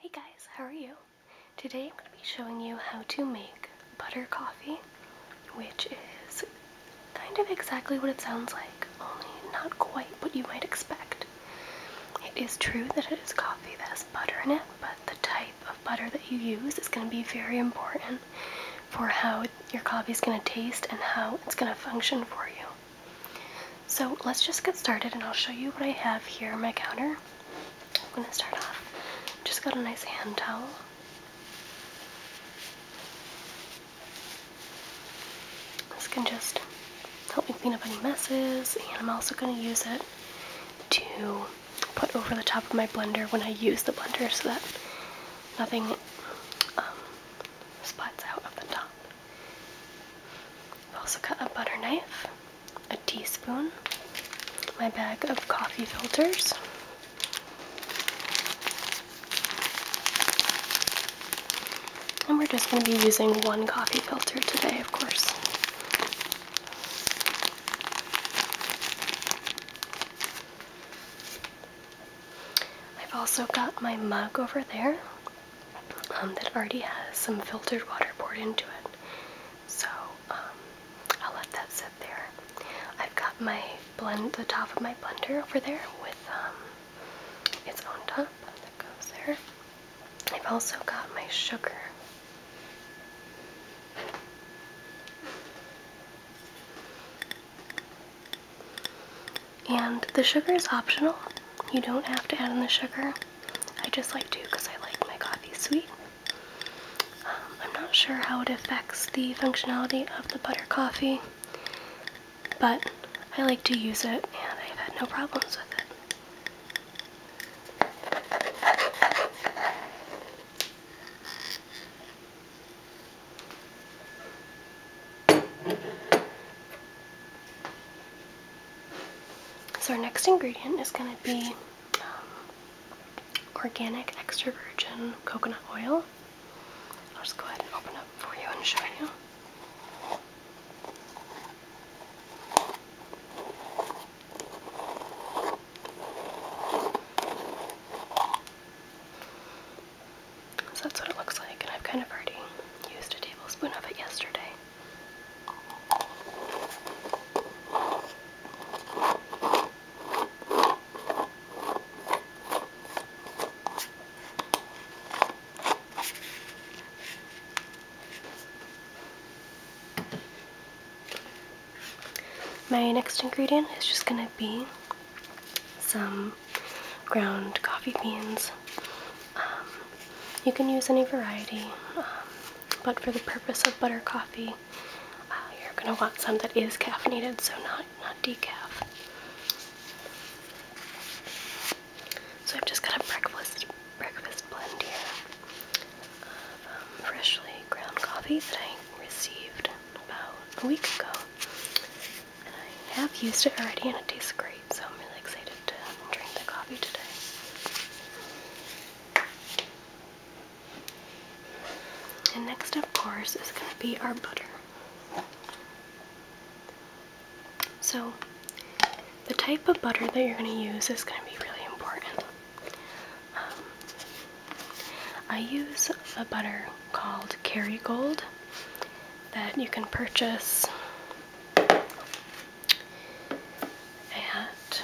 Hey guys, how are you? Today I'm going to be showing you how to make butter coffee, which is kind of exactly what it sounds like, only not quite what you might expect. It is true that it is coffee that has butter in it, but the type of butter that you use is going to be very important for how your coffee is going to taste and how it's going to function for you. So let's just get started and I'll show you what I have here on my counter. I'm going to start off. Just got a nice hand towel. This can just help me clean up any messes and I'm also going to use it to put over the top of my blender when I use the blender so that nothing um, spots out of the top. I've also got a butter knife, a teaspoon, my bag of coffee filters. And we're just going to be using one coffee filter today, of course. I've also got my mug over there um, that already has some filtered water poured into it. So um, I'll let that sit there. I've got my blend, the top of my blender over there with um, its own top that goes there. I've also got my sugar. And the sugar is optional. You don't have to add in the sugar. I just like to because I like my coffee sweet. Um, I'm not sure how it affects the functionality of the butter coffee, but I like to use it and I've had no problems with it. So, our next ingredient is going to be um, organic extra virgin coconut oil. I'll just go ahead and open up for you and show you. So that's what it looks like, and I've kind of already used a tablespoon of it yesterday. My next ingredient is just going to be some ground coffee beans. Um, you can use any variety, um, but for the purpose of butter coffee, uh, you're going to want some that is caffeinated, so not, not decaf. So I've just got a breakfast, breakfast blend here of um, freshly ground coffee that I received about a week ago. And I have used it already and it tastes great so I'm really excited to drink the coffee today. And next, of course, is going to be our butter. So, the type of butter that you're going to use is going to be really important. Um, I use a butter called Kerrygold that you can purchase at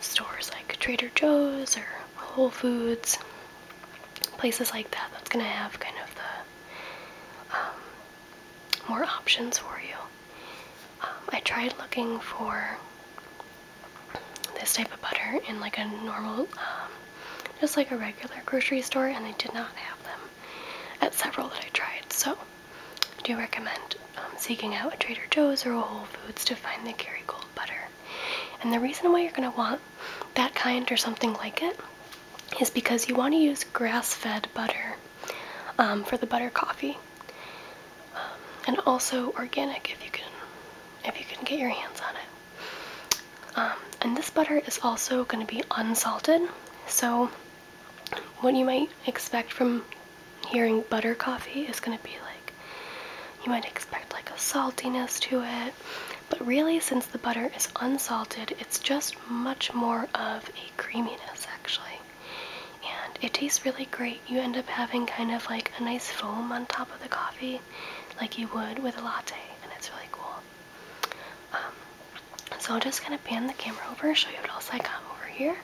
stores like Trader Joe's or Whole Foods, places like that. That's going to have kind of the um, more options for you. Um, I tried looking for this type of butter in like a normal, um, just like a regular grocery store, and they did not have them at several that I tried. So I do recommend um, seeking out a Trader Joe's or a Whole Foods to find the Kerrygold butter. And the reason why you're going to want that kind or something like it is because you want to use grass-fed butter um, for the butter coffee, um, and also organic if you can if you can get your hands on it. and this butter is also going to be unsalted, so what you might expect from hearing butter coffee is going to be like you might expect like a saltiness to it but really since the butter is unsalted it's just much more of a creaminess actually and it tastes really great you end up having kind of like a nice foam on top of the coffee like you would with a latte and it's really cool um, so I'll just kind of pan the camera over, show you what else I got over here.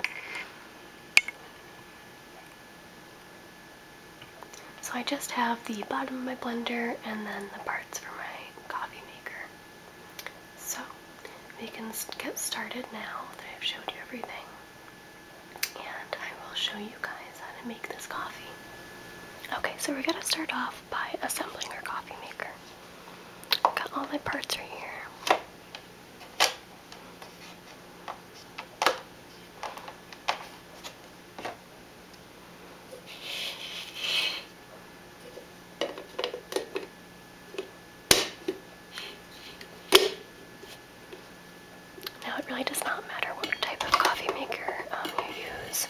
So I just have the bottom of my blender and then the parts for my coffee maker. So we can get started now that I've showed you everything. And I will show you guys how to make this coffee. Okay, so we're gonna start off by assembling our coffee maker. Got all my parts right here. Now it really does not matter what type of coffee maker um, you use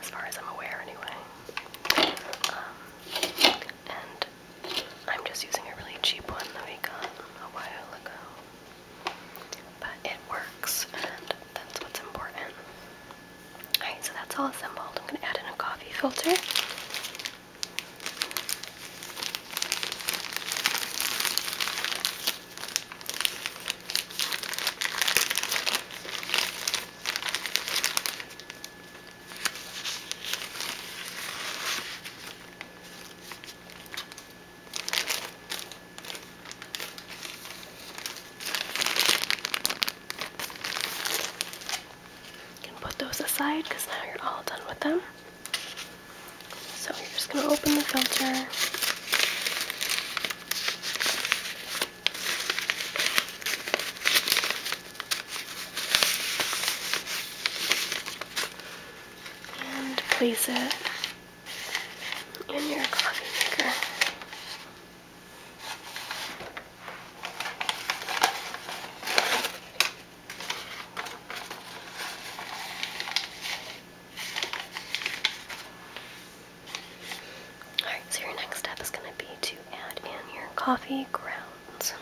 as far as I'm aware, anyway. Um, and I'm just using a really cheap one that we got a while ago. But it works, and that's what's important. Alright, so that's all assembled. I'm going to add in a coffee filter. You can put those aside because now you're all done with them. So you're just going to open the filter and place it in your coffee maker. Alright, so your next step is going to be to add in your coffee grounds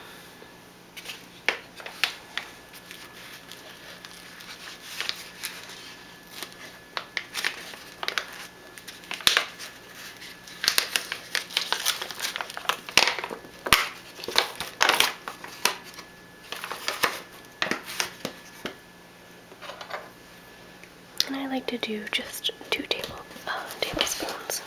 and I like to do just two table, uh, tablespoons.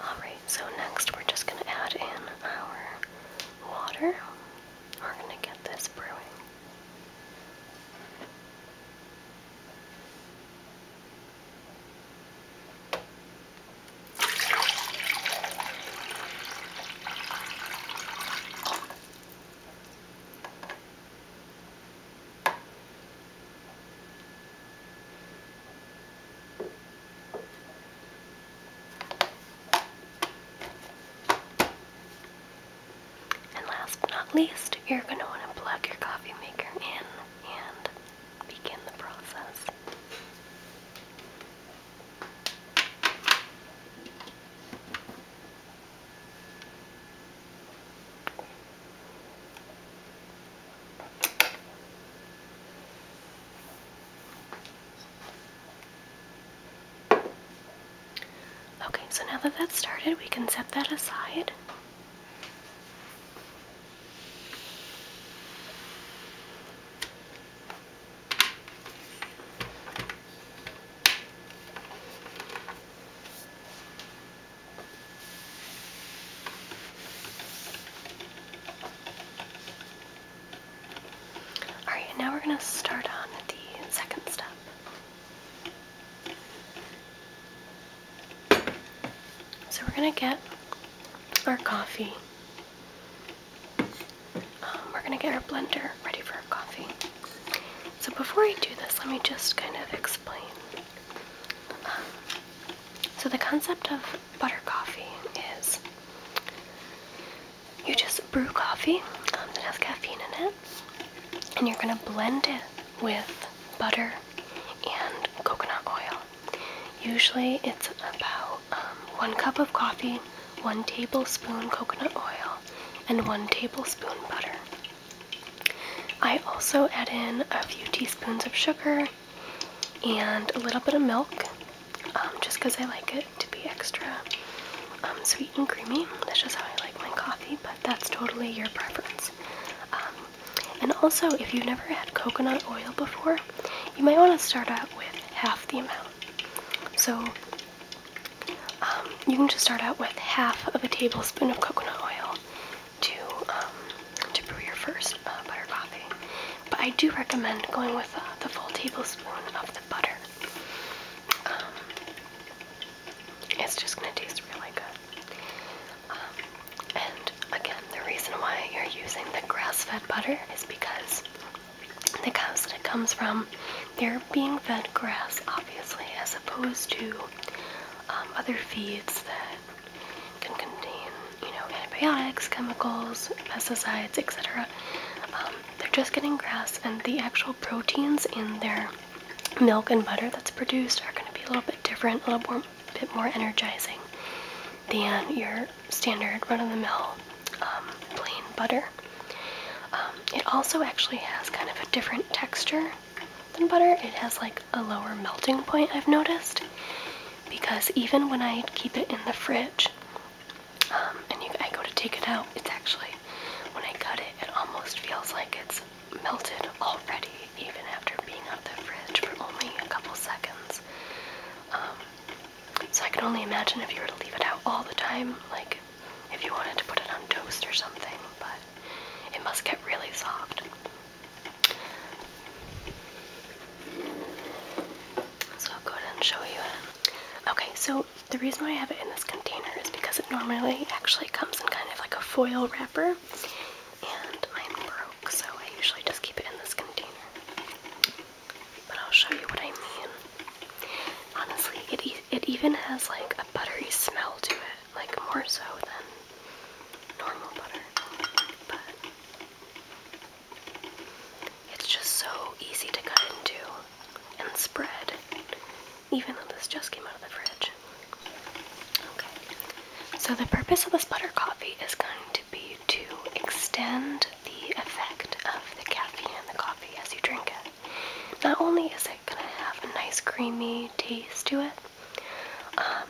Alright, so next we're just going to add in our water. We're going to get this brewing. And last but not least, you're going to want to plug your coffee maker in and begin the process. Okay, so now that that's started, we can set that aside. Alright, now we're going to start on the second step. So we're going to get our coffee. Um, we're going to get our blender ready for our coffee. So before I do this, let me just kind of explain. Um, so the concept of butter coffee is you just brew coffee that has caffeine in it, and you're gonna blend it with butter and coconut oil. Usually it's about um, one cup of coffee, one tablespoon coconut oil, and one tablespoon butter. I also add in a few teaspoons of sugar and a little bit of milk um, just because I like it to be extra um, sweet and creamy. That's just how I like my coffee, but that's totally your preference. Um, and also, if you've never had coconut oil before, you might want to start out with half the amount. So you can just start out with half of a tablespoon of coconut oil to to brew your first uh, butter coffee. But I do recommend going with uh, the full tablespoon of the butter. Um, it's just gonna taste really good. Um, and again, the reason why you're using the grass-fed butter is because the cows that it comes from, they're being fed grass, obviously, as opposed to um, other feeds that can contain, you know, antibiotics, chemicals, pesticides, etc they're just getting grass, and the actual proteins in their milk and butter that's produced are going to be a little bit different, a little bit more energizing than your standard run-of-the-mill um, plain butter. Um, it also actually has kind of a different texture than butter. It has like a lower melting point, I've noticed, because even when I keep it in the fridge, um, and I go to take it out. It's actually, when I cut it, it almost feels like it's melted already, even after being out the fridge for only a couple seconds. Um, so I can only imagine if you were to leave it out all the time, like if you wanted to put it on toast or something, but it must get really soft. So I'll go ahead and show you it. Okay, so the reason why I have it in this container is because it normally actually comes in kind of like a foil wrapper, and mine broke, so I usually just keep it in this container. But I'll show you what I mean. Honestly, it it even has like a buttery smell to it, like more so than normal butter. It's just so easy to cut into and spread, even though this just came out of the fridge. Okay, so the purpose of this butter coffee is going to be to extend the effect of the caffeine in the coffee as you drink it. Not only is it going to have a nice creamy taste to it, um,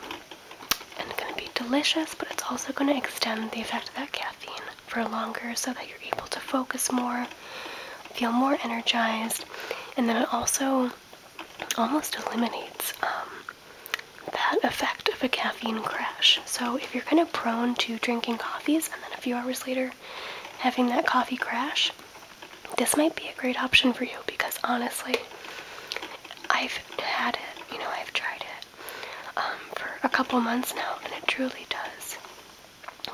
and it's going to be delicious, but it's also going to extend the effect of that caffeine for longer so that you're able to focus more, feel more energized, and then it also almost eliminates um, that effect of a caffeine crash. So if you're kind of prone to drinking coffees and then a few hours later having that coffee crash, this might be a great option for you because honestly, I've had it, you know, I've tried it um, for a couple months now and it truly does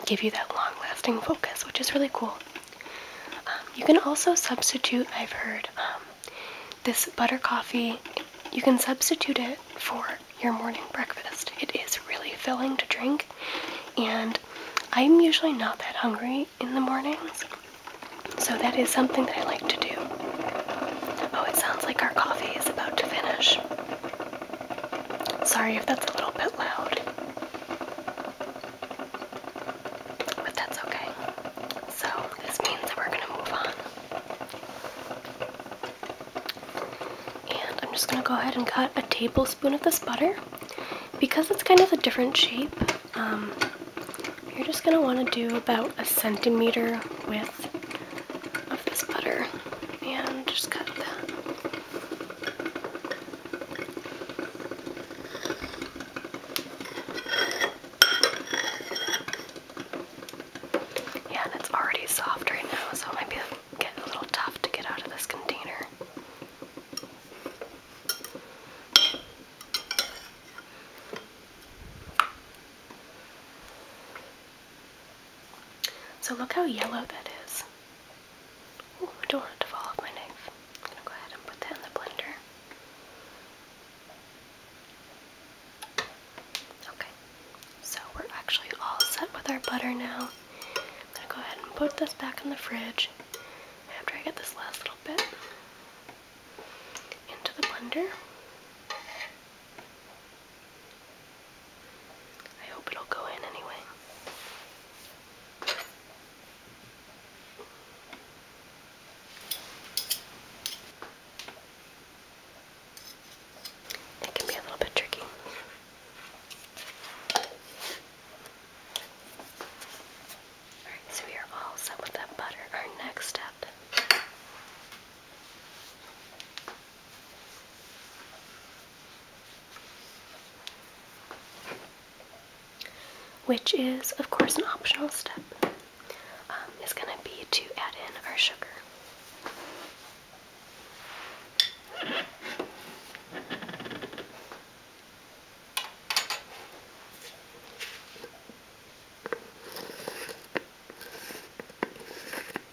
give you that long lasting focus, which is really cool. Um, you can also substitute, I've heard, um, this butter coffee, you can substitute it for your morning breakfast. It is really filling to drink, and I'm usually not that hungry in the mornings, so that is something that I like to do. Oh, it sounds like our coffee is about to finish. Sorry if that's a little bit loud. But that's okay. So, this means that we're going to move on. And I'm just going to go ahead and cut a tablespoon of this butter. Because it's kind of a different shape, um, you're just going to want to do about a centimeter width of this butter and just cut that. Yeah, and it's already soft right now, so it might be getting a little tough to get out of this container. So look how yellow that is. don't want it to fall off my knife. I'm gonna go ahead and put that in the blender. Okay, so we're actually all set with our butter now. I'm gonna go ahead and put this back in the fridge after I get this last little bit into the blender. I hope it'll go in anyway. It can be a little bit tricky. Alright, so we are all set with that butter. Our next step which is, of course, an optional step, um, is going to be to add in our sugar.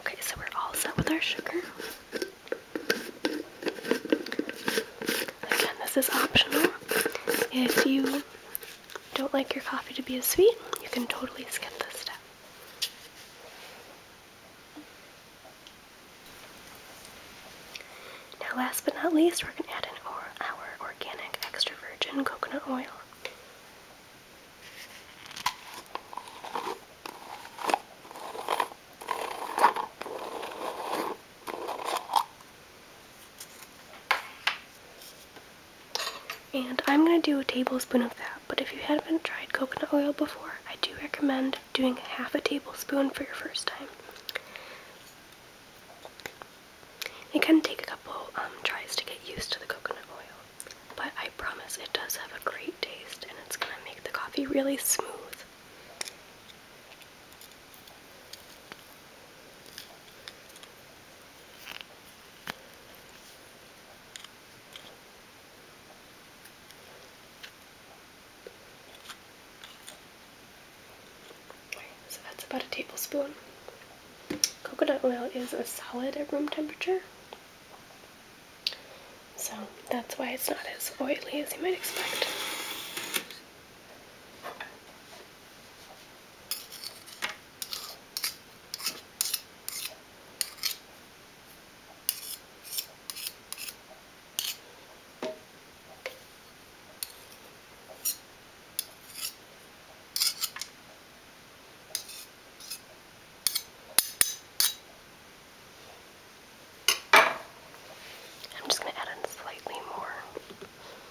Okay, so we're all set with our sugar. Again, this is optional. If you don't like your coffee to be as sweet, you can totally skip this step. Now, last but not least, we're going to add in our, organic extra virgin coconut oil. And I'm going to do a tablespoon of that, but if you haven't tried coconut oil before, I do recommend doing half a tablespoon for your first time. It can take a couple um, tries to get used to the coconut oil. But I promise it does have a great taste and it's gonna make the coffee really smooth. so that's about a tablespoon coconut oil is a solid at room temperature. So that's why it's not as oily as you might expect. I'm just going to add in slightly more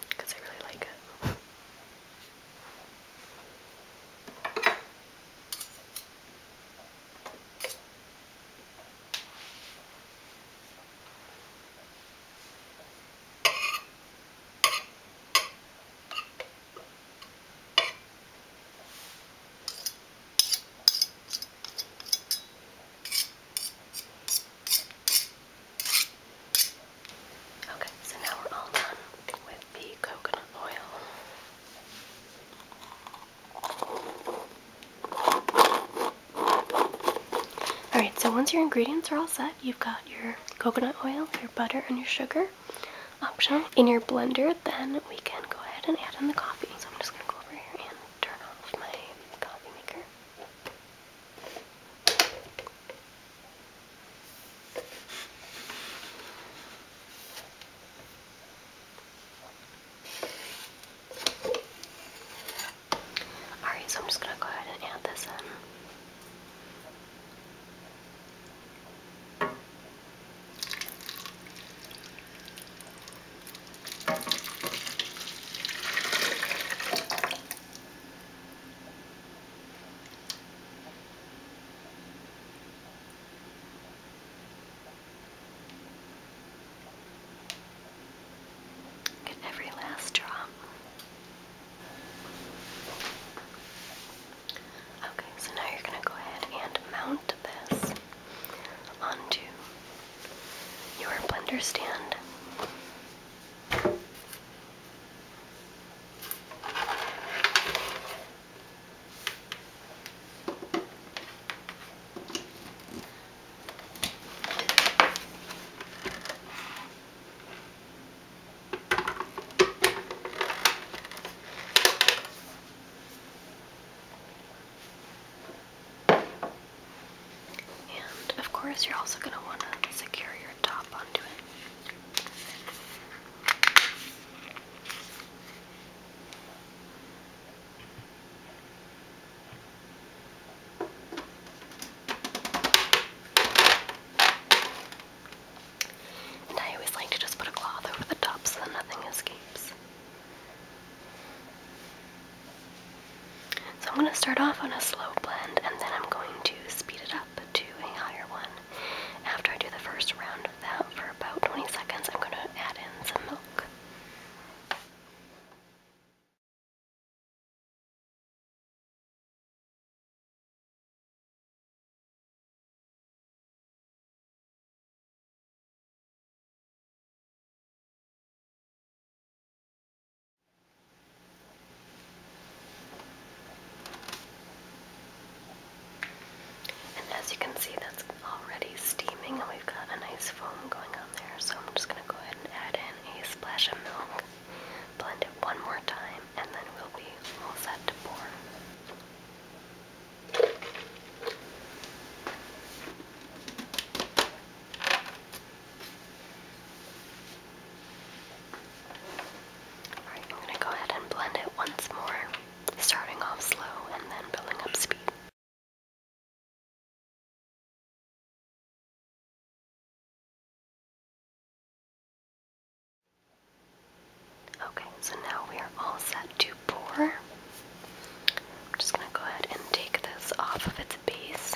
because I really like it. Okay, so now we're all done with the coconut oil. Alright, so once your ingredients are all set, you've got your coconut oil, your butter, and your sugar option in your blender, then we can go ahead and add in the coffee. So I'm just going to go over here and turn off my coffee maker. Alright, so I'm just going to go ahead and add this in. Get every last drop. Okay, so now you're going to go ahead and mount this onto your blender stand. And of course, you're also going to want to secure your top onto it. And I always like to just put a cloth over the top so that nothing escapes. So I'm going to start off on a slow blend and then I'm going to speed it up to a higher one. After I do the first round of that for about 20 seconds, I'm going to add in some milk. And as you can see, that's already steaming, and we've got a nice foam going on there. So I'm just going to go ahead and add in a splash of milk. Blend it one more time and then we'll be all set to pour. Alright, I'm going to go ahead and blend it once more, starting off slow and then building up speed. Okay, so now we are all set to pour. I'm just going to go ahead and take this off of its base.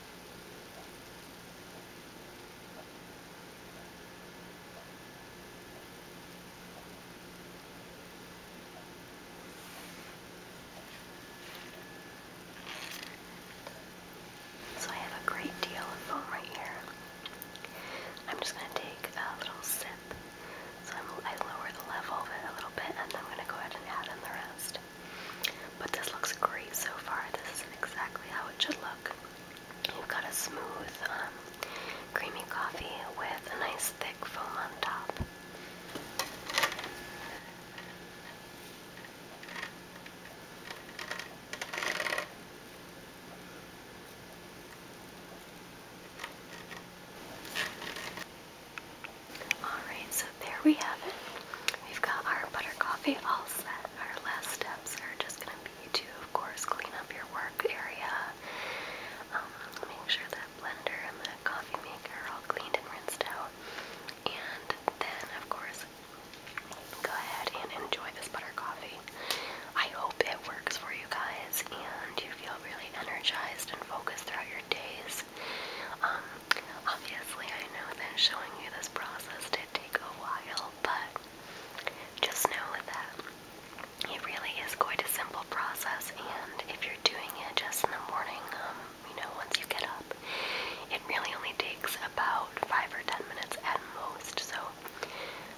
So I have a great deal of foam right here. I'm just going to take a little sip. So I'm, lower the level of it a little bit and I'm going to go ahead and add in the rest. But this looks great so far. This isn't exactly how it should look. You've got a smooth, um, creamy coffee with a nice thick foam on top. Alright, so there we have it. We've got our butter coffee all set. Our last steps are just going to be to, of course, clean up your work area. Um, make sure that blender and the coffee maker are all cleaned and rinsed out. And then, of course, go ahead and enjoy this butter coffee. I hope it works for you guys and you feel really energized and focused throughout your days process. Um, obviously, I know that showing you this process did take a while, but just know that it really is quite a simple process, and if you're doing it just in the morning, um, you know, once you get up, it really only takes about five or ten minutes at most. So,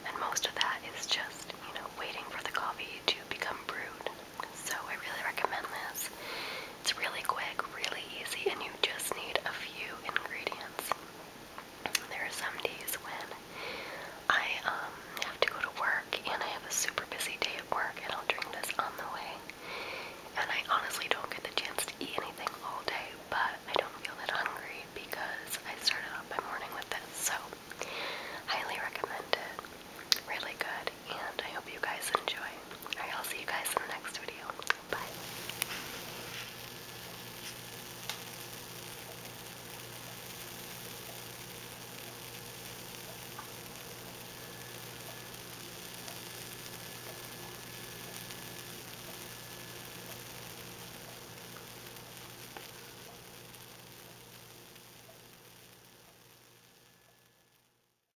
and most of that is just, you know, waiting for the coffee to become brewed. So, I really recommend this. It's really quick, really easy, and you just need a few ingredients. There are some days when I um, have to go to work and I have a super busy day at work, and I'll drink this on the way. And I honestly don't get the chance to eat anything all day, but I don't feel that hungry because I started out my morning with this. So, highly recommend it. Really good and I hope you guys enjoy. Alright, I'll see you guys in the next video. Bye.